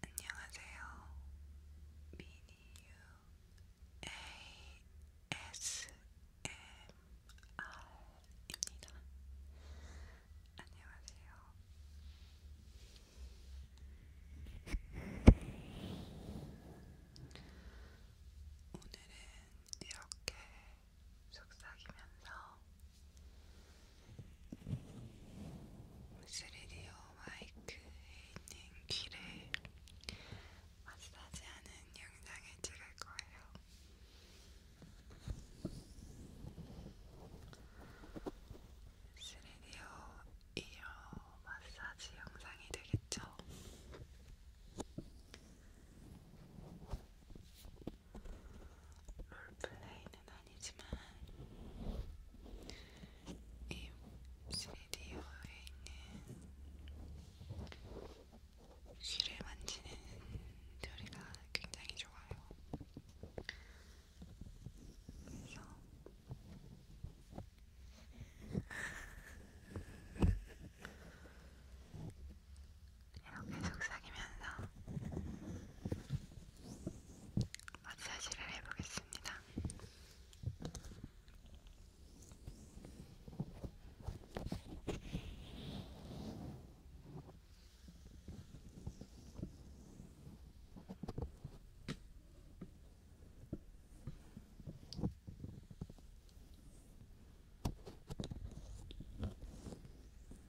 안녕하세요. 미니유 ASMR입니다. 안녕하세요. 오늘은 이렇게 속삭이면서 스리디오 마이크에 있는 귀를 마사지하는 영상을 찍을 거예요. 스리디오 이어 마사지 영상이 되겠죠? 롤플레이는 아니지만 이 시리오에 있는 귀를 만지는 소리가 굉장히 좋아요. 그래서 이렇게 속삭이면서 마사지를 해보겠습니다.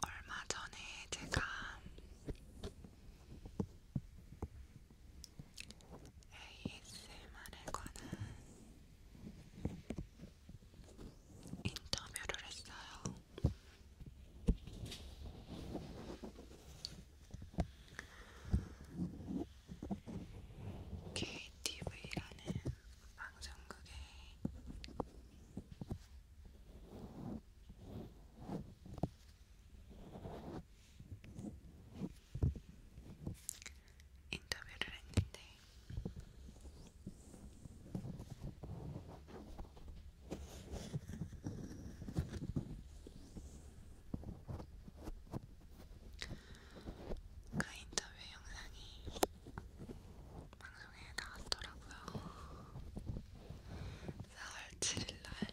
얼마 전에 제가 ASMR에 관한 인터뷰를 했어요. KTV라는 방송국에 인터뷰를 했는데 그 인터뷰 영상이 방송에 나왔더라고요. 4월 7일날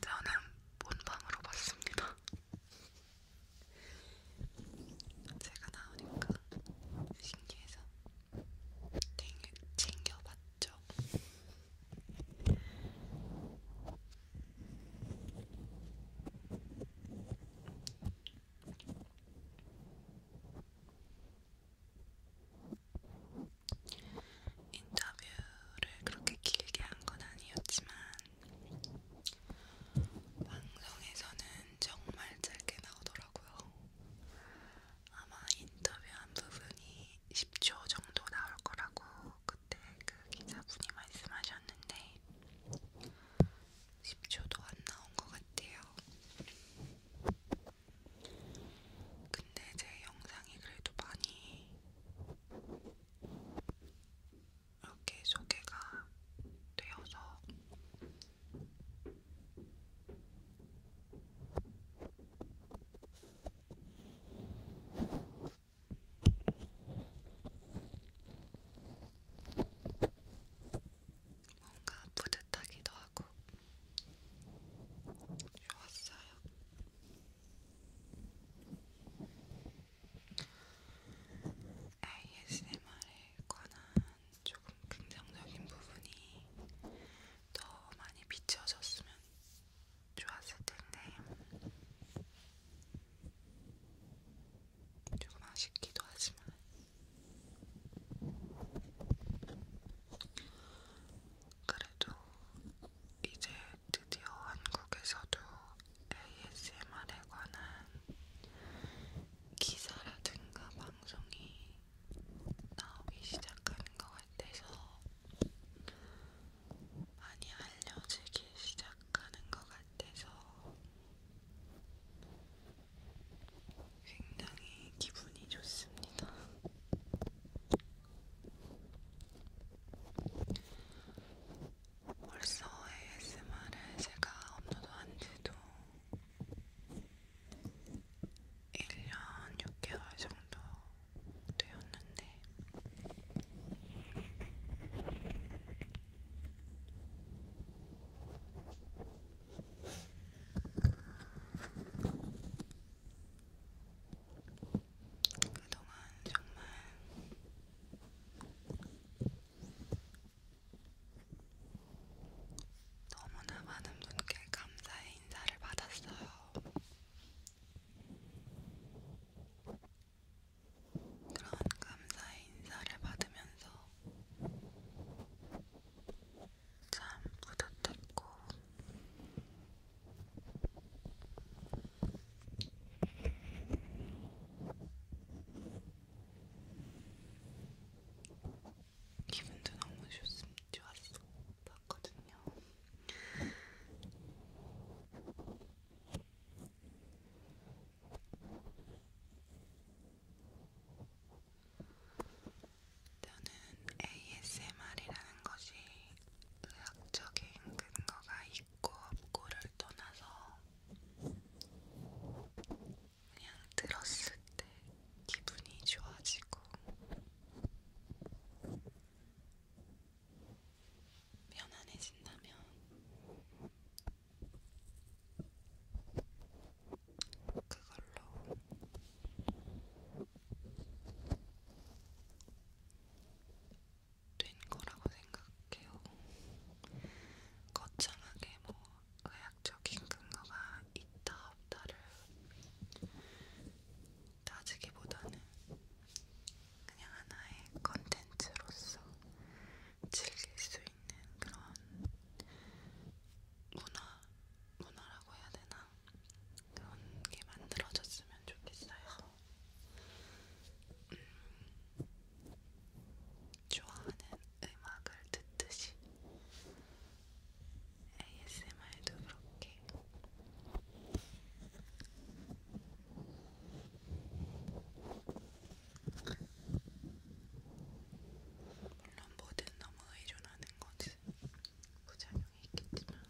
저는 본방으로 봤습니다. 제가 나오니까 신기해서 챙겨봤죠. 인터뷰를 그렇게 길게 한 건 아니었지만 방송에서는 정말 짧게 나오더라고요. 아마 인터뷰한 부분이 10초 정도 나올 거라고 그때 그 기자분이 말씀하셨는데 10초도 안 나온 것 같아요. 근데 제 영상이 그래도 많이 이렇게 소개가 되어서 뭔가 뿌듯하기도 하고 좋았어요. ASMR에 관한 조금 긍정적인 부분이 더 많이 비춰졌으면 좋았을 텐데 조금 아쉽기도 하지만 그래도 이제 드디어 한국에서도 ASMR에 관한 기사라든가 방송이 나오기 시작하는 것 같아서 많이 알려지기 시작하는 것 같아서 굉장히 기분이 좋습니다. 벌써 ASMR을 제가 업로드한 지도 1년 6개월 정도 되었는데, 그동안 정말 너무나 많은 분께 감사의 인사를 받았어요. 그런 감사의 인사를 받으면서 참 뿌듯했고 기분도 너무 좋습니다. 좋았어. 봤거든요. 저는 ASMR이라는 것이 의학적인 근거가 있고 없고를 떠나서 그냥 들었을 때 기분이 좋아지고 편안해진다면 그걸로 된 거라고 생각해요. 거창하게 뭐 의학적인 근거가 있다 없다를 따지기보다는 그냥 하나의 컨텐츠로서 즐길 수 있는 그런 문화, 문화라고 해야 되나? 그런 게 만들어졌으면 좋겠어요. 음, 좋아하는 음악을 듣듯이 ASMR도 그렇게 물론 뭐든 너무 의존하는 것은 부작용이 있겠지만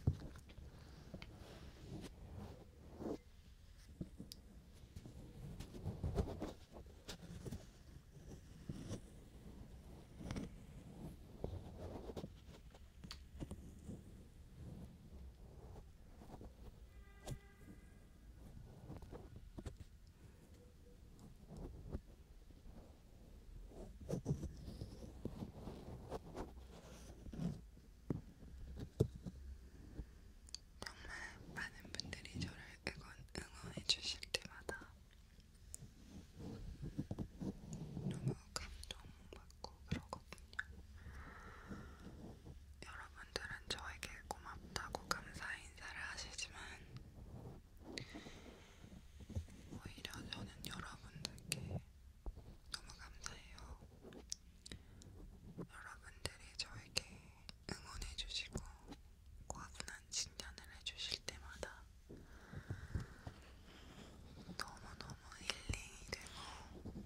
정말 많은 분들이 저를 응원, 응원해주실 때마다 너무 감동받고 그러거든요. 여러분들은 저에게 고맙다고 감사 인사를 하시지만 오히려 저는 여러분들께 너무 감사해요. 여러분들이 저에게 응원해주시고 과분한 진단을 해주실 때마다 너무너무 힐링이 되고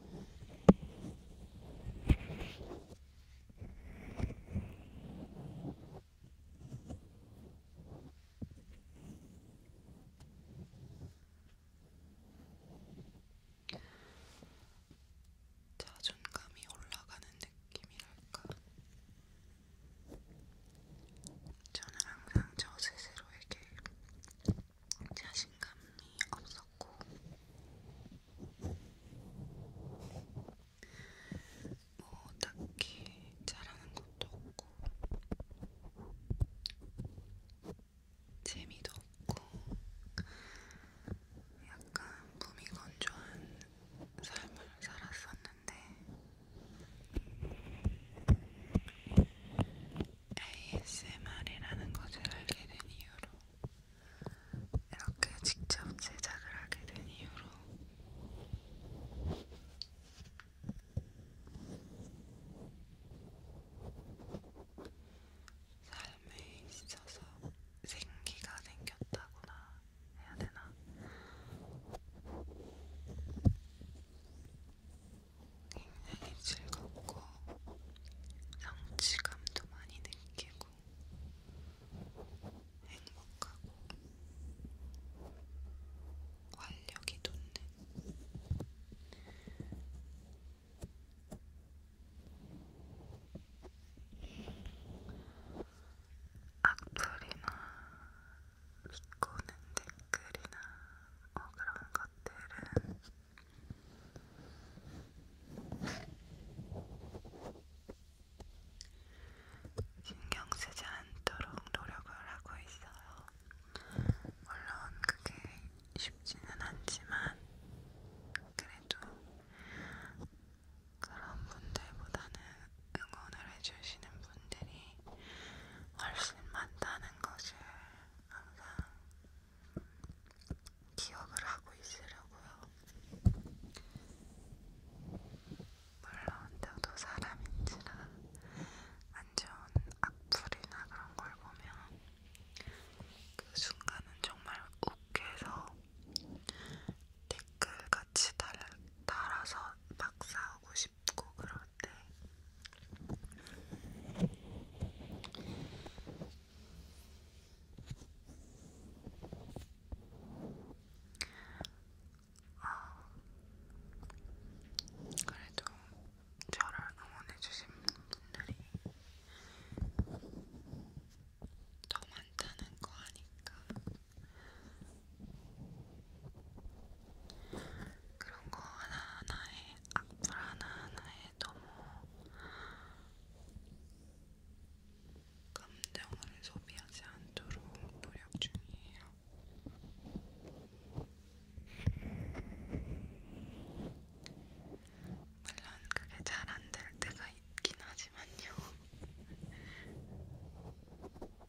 자존감이 올라가는 느낌이랄까 저는 항상 저 스스로에게 자신감이 없었고 뭐 딱히 잘하는 것도 없고 재미도 없고 약간 무미건조한 삶을 살았었는데 하는데 ASMR이라는 것을 알게 된 이후로 이렇게 직접 제작을 하게 된 이후로 삶에 있어서 생기가 생겼다거나 해야 되나? 굉장히 즐겁고 성취감도 많이 느끼고 행복하고 활력이 돋는 악플이나 비꼬는 댓글이나 뭐 그런 것들은 신경 쓰지 않도록 노력을 하고 있어요. 물론 그게 쉽지는 않지만 그래도 그런 분들보다는 응원을 해주시는 분들이 훨씬 많다는 것을 항상 기억을 하고 있으려고요. 물론 저도 사람인지라 안 좋은 악플이나 그런 걸 보면 그 순간은 정말 웃겨서 댓글같이 달아서 막 싸우고 싶고 그런데 어, 그래도 저를 응원해주신 분들이 더 많다는 거 아니까 그런 거 하나하나에 악플 하나하나에 너무 감정을 소비하지 않도록 노력 중이에요. 물론 그게 잘 안 될 때가 있긴 하지만요.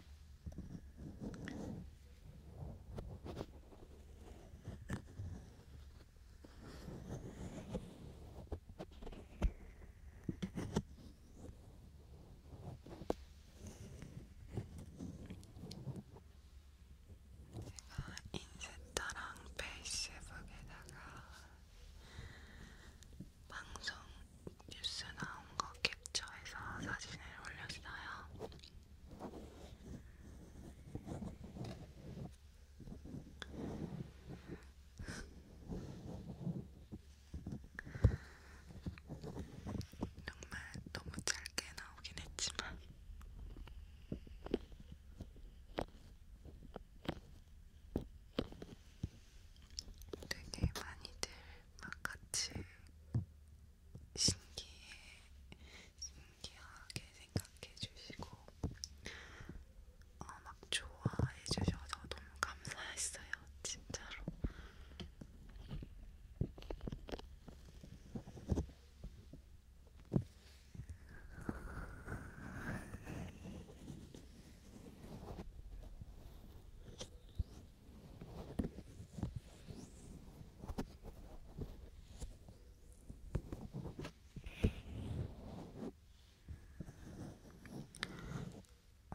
제가 인스타랑 페이스북에다가 방송 뉴스 나온 거 캡처해서 사진을 올렸어요. 정말 너무 짧게 나오긴 했지만 되게 많이들 막 같이 신기해, 신기하게 생각해 주시고 어, 막 좋아해 주셔서 너무 감사했어요, 진짜로.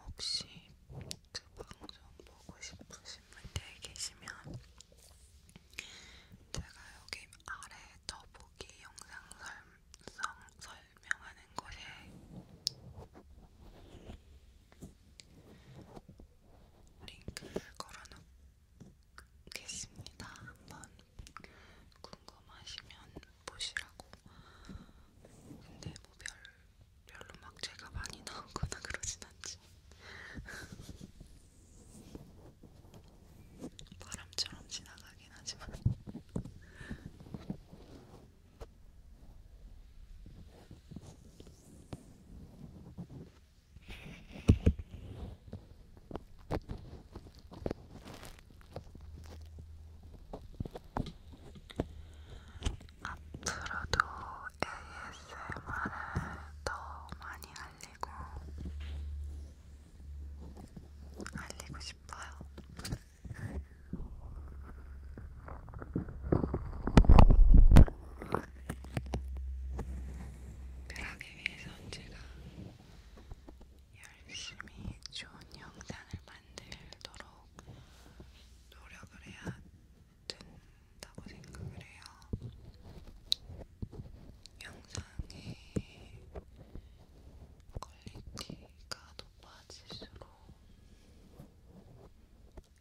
혹시 그 방송 보고 싶으신 분들 계시면 제가 여기 아래 더보기 영상 설, 성, 설명하는 곳에 링크를 걸어놓겠습니다. 한번 궁금하시면 보시라고. 근데 뭐 별, 별로 막 제가 많이 나오거나 그러진 않지. 바람처럼 지나가긴 하지만 앞으로도 ASMR을 더 많이 알리고 알리고 싶어요. 그러기 위해서 제가 열심히 좋은 영상을 만들도록 노력을 해야 된다고 생각을 해요. 영상의 퀄리티가 높아질수록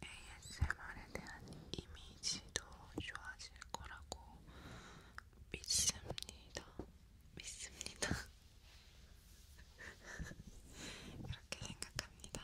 ASMR에 대한 이미지도 좋아질 거라고 믿습니다. 믿습니다. 이렇게 생각합니다.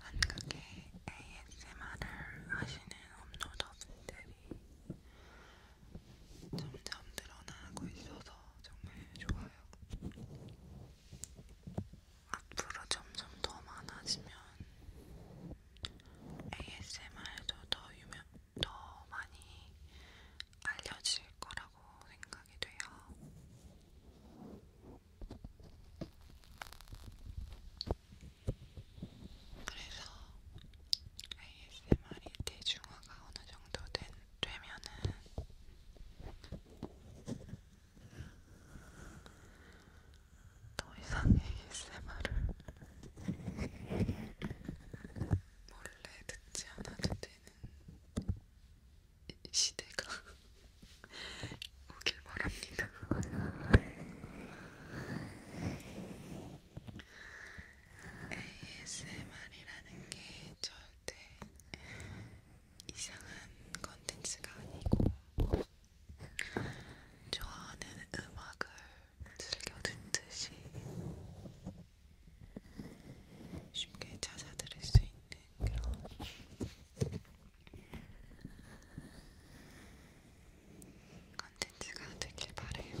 한국의 ASMR을 하시는 업로더분들이 점점 늘어나고 있어서 정말 좋아요. 앞으로 점점 더 많아지면 ASMR도 더 유명, 더 많이 알려질 거라고 생각이 돼요. 그래서 ASMR이 대중화가 어느 정도 된, 되면은 더 이상 ASMR을 몰래 듣지 않아도 되는 시대가 오길 바랍니다. ASMR이라는 게 절대 이상한 컨텐츠가 아니고 좋아하는 음악을 즐겨 듣듯이 쉽게 찾아 들을 수 있는 그런 컨텐츠가 되길 바래요.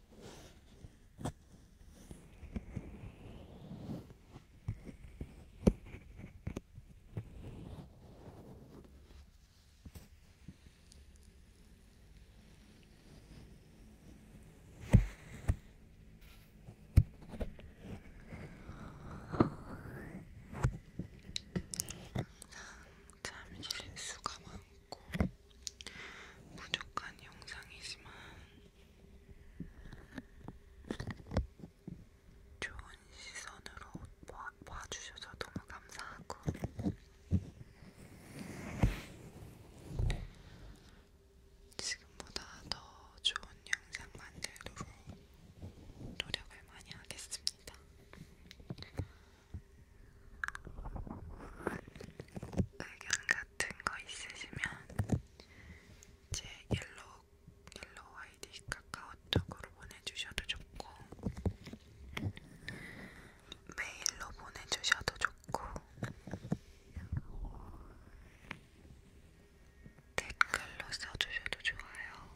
잠실 수가 많고 부족한 영상이지만 좋은 시선으로 봐, 봐주셔서 너무 감사하고 지금보다 더 좋은 영상 만들도록 노력을 많이 하겠습니다. 의견 같은 거 있으시면 제 옐로우, 옐로우 아이디 카카오톡으로 보내주셔도 좋고 메일로 보내주셔도 좋고 댓글로 써주셔도 좋아요.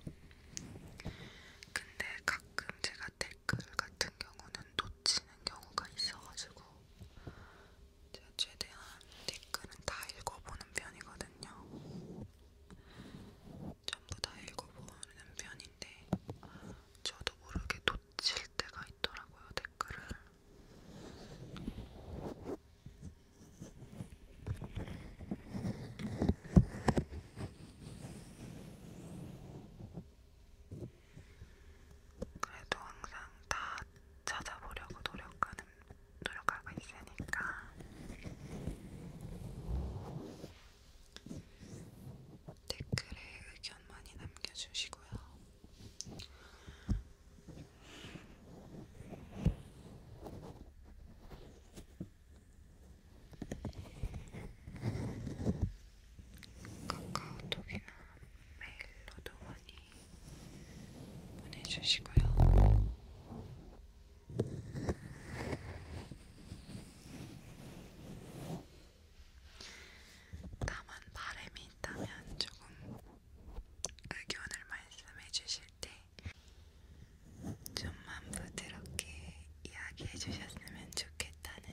근데 가끔 제가 제가 댓글 같은 경우는 놓치는 경우가 있어가지고 제가 최대한 댓글은 다 읽어보는 편이거든요. 전부 다 읽어보는 편인데 저도 모르게 놓칠 때가 있더라고요 댓글을. 그래도 항상 다 찾아보려고 노력하는 노력하고 있으니까 댓글에 의견 많이 남겨주시고요. 카카오톡이나 메일로도 많이 보내주시고요. 다만 바람이 있다면 조금 의견을 말씀해 주실 때 좀만 부드럽게 이야기해 주셨으면 좋겠다는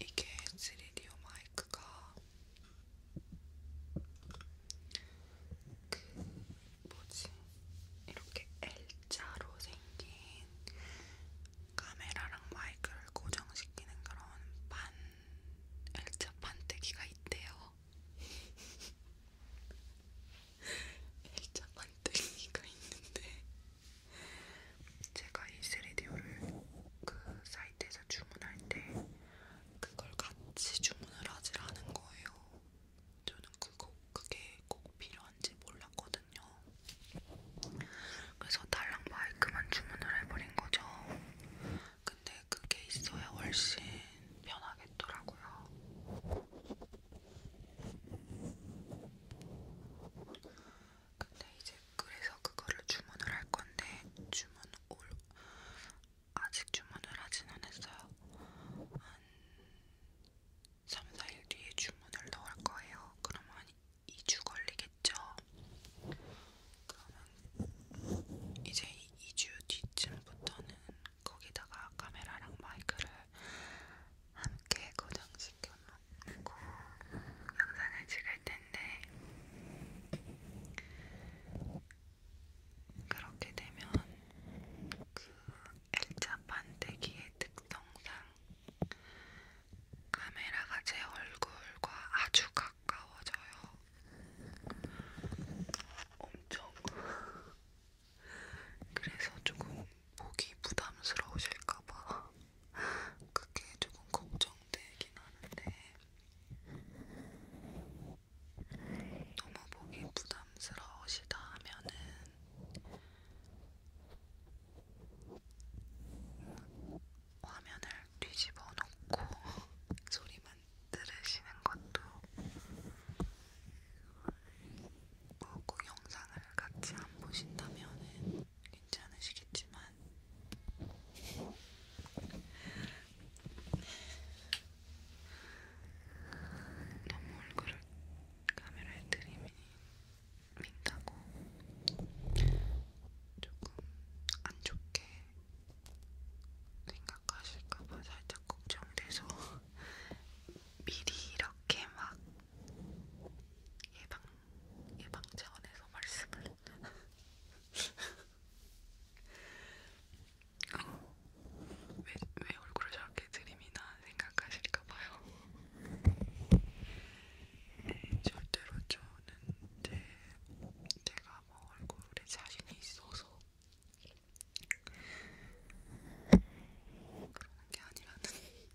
이게 3D 마이크가 그 뭐지? 이렇게 L자로 생긴 카메라랑 마이크를 고정시키는 그런 반 L자 반대기가 있대요. L자 반대기가 있는데 제가 이 3DO를 그 사이트에서 주문할 때 그걸 같이 주문을 하질 않은 거예요. 저는 그거 그게 꼭 필요한지 몰랐거든요. 그래서 달랑 마이크만 주문을 해버린 거죠. 근데 그게 있어야 훨씬 편하겠더라고요. 근데 이제 그래서 그거를 주문을 할 건데 주문 올 아직 주문을 하진 않았어요. 한 3, 4일 뒤에 주문을 넣을 거예요. 그러면 한 2주 걸리겠죠? 그러면 이제 2주 뒤쯤부터는 거기다가 카메라랑 마이크를 함께 고정 시켜놓고 영상을 찍을 텐데 그렇게 되면 그 L자 반대기의 특성상 카메라가 제 얼굴과 아주 가까워져요. 엄청. 그래서 조금 보기 부담스러우실까봐 그게 조금 걱정되긴 하는데 너무 보기 부담스러우시다 하면은 화면을 뒤집어 놓고 소리만 들으시는 것도 그리고 뭐 영상을 같이 안 보신다면은 괜찮으시겠지만 너무 얼굴을 카메라에 들이민다고 조금 안 좋게 생각하실까봐 살짝 걱정돼서 미리 이렇게 막 예방 예방 차원에서 말씀을 어, 왜, 왜 얼굴을 저렇게 들이미나 생각하실까 봐요. 네, 절대로 저는 제, 제가 뭐 얼굴에 자신이 있어서 그런 게 아니라는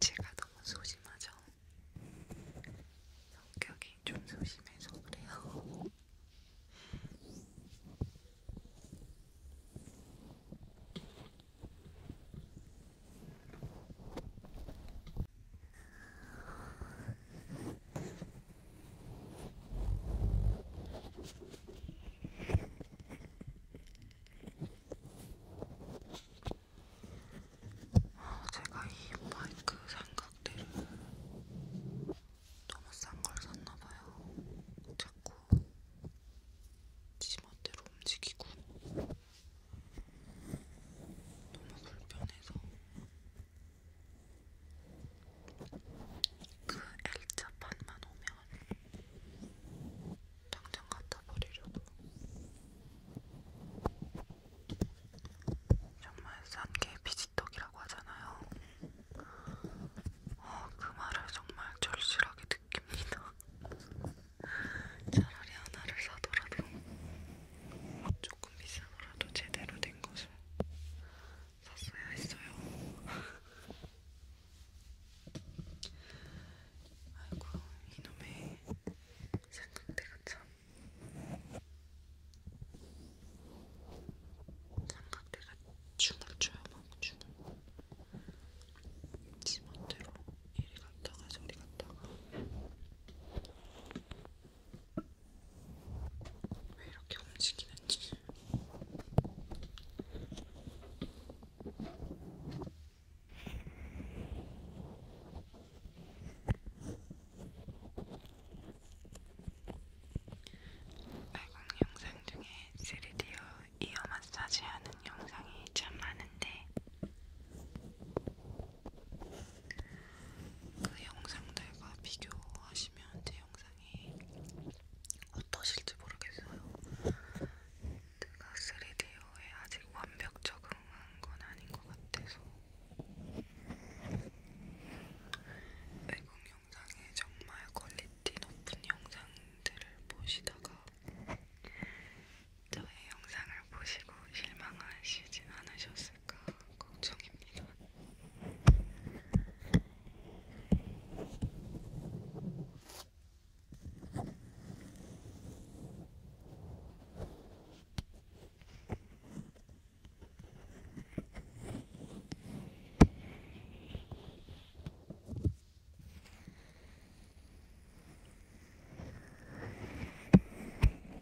제가 너무 소심하죠? 성격이 좀 소심해서 그래요. 어, 제가 이 마이크 삼각대를 너무 싼 걸 샀나봐요. 자꾸 지멋대로 움직이고 너무 불편해서 그 L자판만 오면 당장 갖다 버리려고 정말 싼 게 비지떡이라고 하잖아요 어, 그 말을 정말 절실하게 느낍니다 차라리 하나를 사더라도 좀 조금 비싸더라도 제대로 된 것을 샀어야 했어요. 아이고 이놈의 삼각대가 참 삼각대가 춤을 춰요 막 춤을 지멋대로 이리 갔다가 저리 갔다가 왜 이렇게 움직이는지. 발광 영상 중에 3D로 이어 마사지하는 영상이 참 많은데 그 영상들과 비교하시면 제 영상이 어떠실지 모르겠어요. 제가 3D에 아직 완벽 적응한 건 아닌 것 같아서 외국 영상에 정말 퀄리티 높은 영상들을 보시다가 저의 영상을 보시고 실망하시진 않으셨을까 걱정입니다.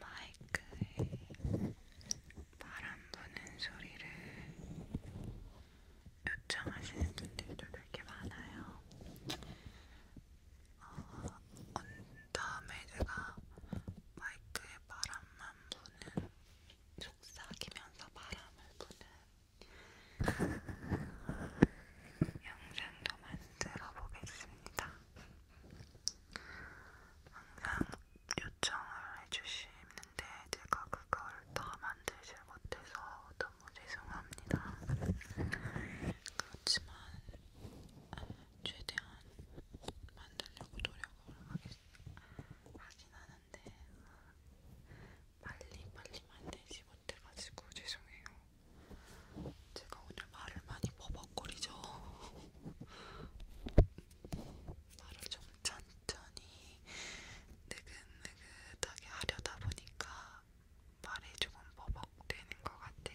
마이크에 바람 부는 소리를 요청하시는 분들도 그렇게 많아요. 어, 온 다음에 제가 마이크에 바람만 부는 속삭이면서 바람을 부는 영상도 만들어 보겠습니다. 항상 요청을 해주시는데 제가 그걸 다 만들지 못해서 너무 죄송합니다. 그렇지만 최대한 만들려고 노력을 하긴 하는데 하는데 빨리 빨리 만들지 못해가지고 죄송해요. 제가 오늘 말을 많이 버벅거리죠. 말을 좀 천천히 느긋느긋하게 하려다 보니까 말이 조금 버벅되는 것 같아요.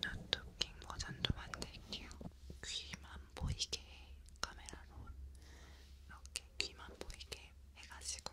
노트킹 버전도 만들게요. 귀만 보이게 카메라로 이렇게 귀만 보이게 해가지고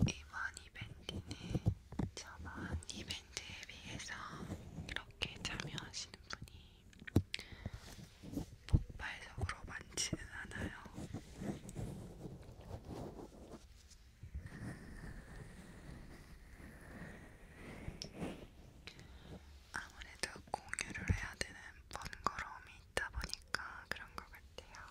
이번 이벤트는 저번 이벤트에 비해서 이렇게 참여하시는 분이 폭발적으로 많지는 않아요. 아무래도 공유를 해야 되는 번거로움이 있다 보니까 그런 것 같아요.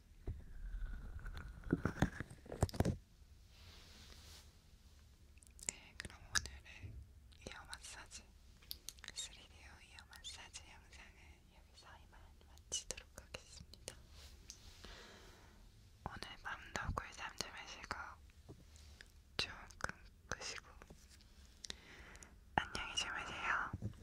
네, 그럼 오늘의 이어 마사지 3D오 이어 마사지 영상은 여기서 이만 마치도록 하겠습니다. 오늘 밤도 꿀잠 좀 하시고 좋은 꿈 꾸시고 안녕히 주무세요.